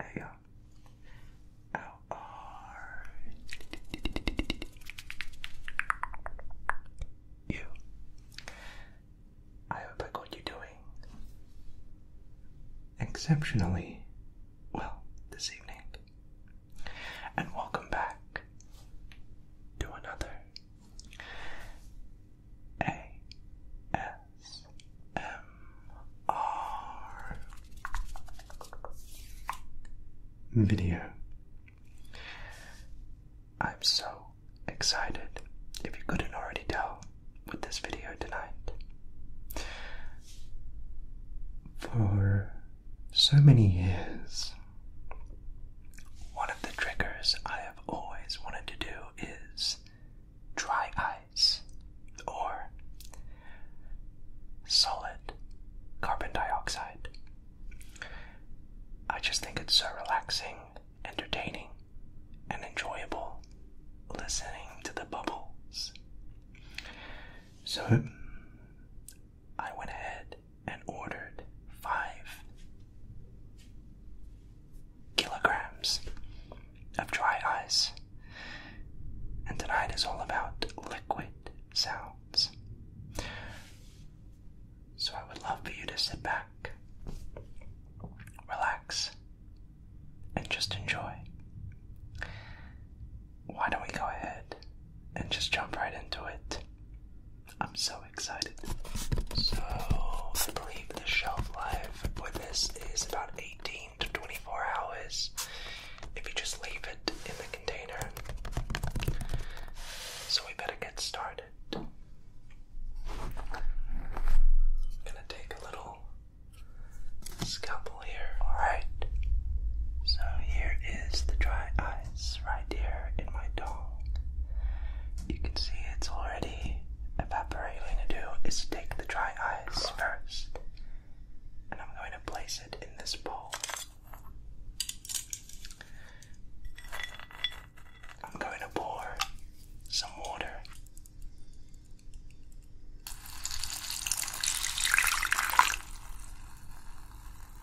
Hey, how are you? hope I got you doing exceptionally well this evening and welcome back to another ASMR video. I'm so excited, if you couldn't already tell, with this video tonight. For so many years, one of the triggers I have always wanted to do is dry ice or solid carbon dioxide. I just think it's so relaxing, entertaining, and enjoyable listening to the bubbles. So, I went ahead and ordered five kilograms of dry ice. And tonight is all about liquid sounds. So I would love for you to sit back, relax, and just enjoy why don't we go ahead and just jump right into it? I'm so excited. So, I believe the shelf life for this is about 18 to 24 hours if you just leave it in the container. So, we better get started. gonna take a little scalpel here. Alright, so here is the dry eye right here in my tongue. You can see it's already evaporating. to do is take the dry ice first, and I'm going to place it in this bowl. I'm going to pour some water.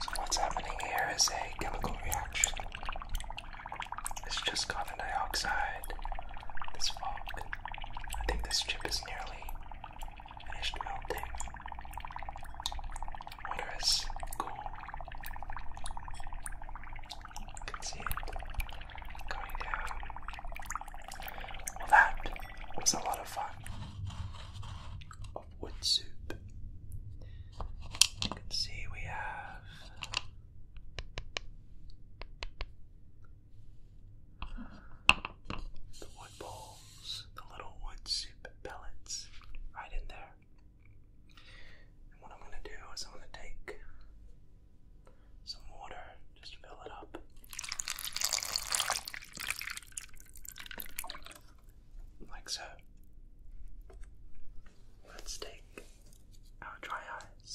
So what's happening here is a chemical reaction. It's just carbon dioxide, this fog. I think this chip is nearly finished melting. Water is cool. You can see it going down well, that was a lot of fun. wood soup. see we have the wood bowls, the little wood soup pellets right in there. And what I'm going to do is I'm going to take some water just to fill it up. Like so. Let's take our dry eyes.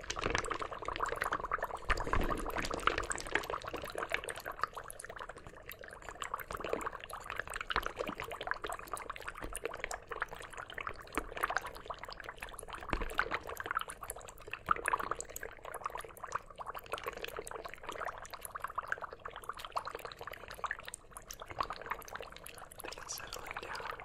I think it's settling down.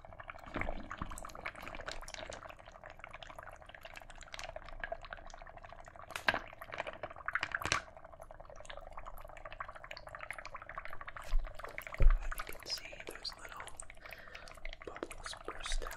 And you can see those little bubbles burst out.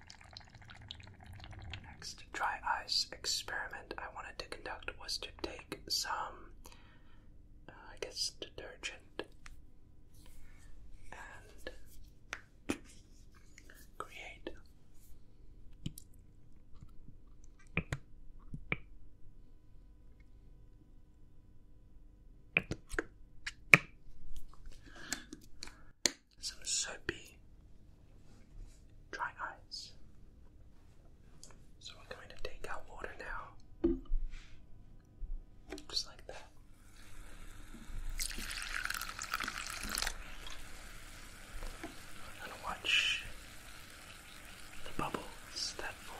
Next dry ice experiment I wanted to conduct was to take some, uh, I guess, detergent and create some soapy dry eyes. So we're going to take our water now, just like that. we watch the bubbles that form.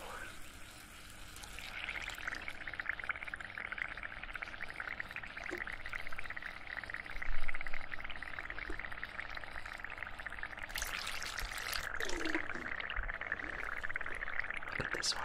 Look at this one.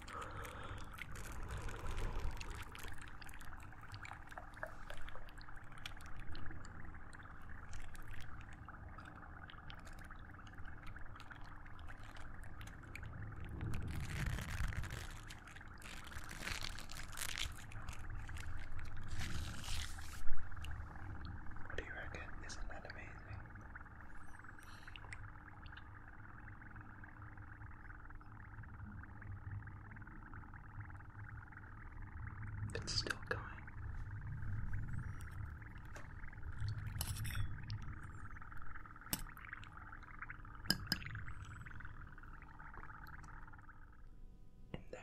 What do you reckon? Isn't that amazing? It's still going. In there.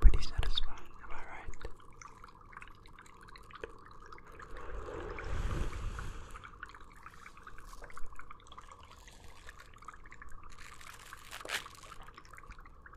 Pretty satisfying, am I right?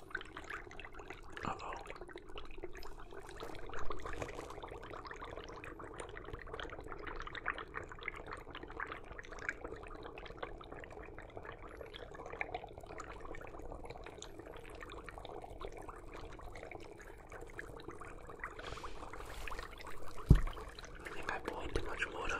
Uh oh. I think I boiled too much water.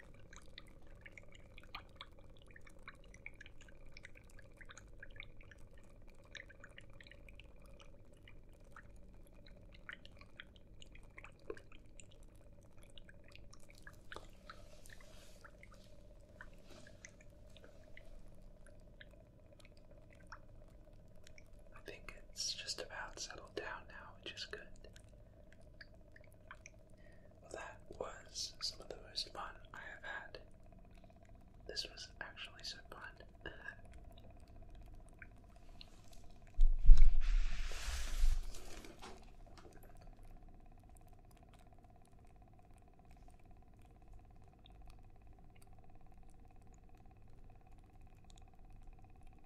I think it's just about settled down now, which is good that was some of the most fun I have had. This was actually so fun.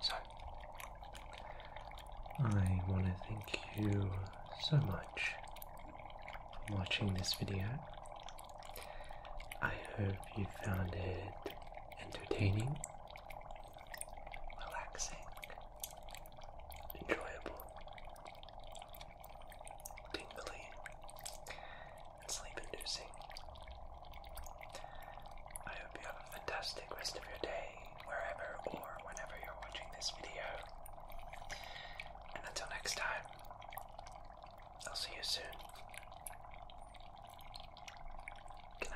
So, I want to thank you so much for watching this video. I hope you found it entertaining, relaxing, enjoyable, tingly, and sleep inducing. I hope you have a fantastic rest of your day, wherever or whenever you're watching this video. And until next time, I'll see you soon. Good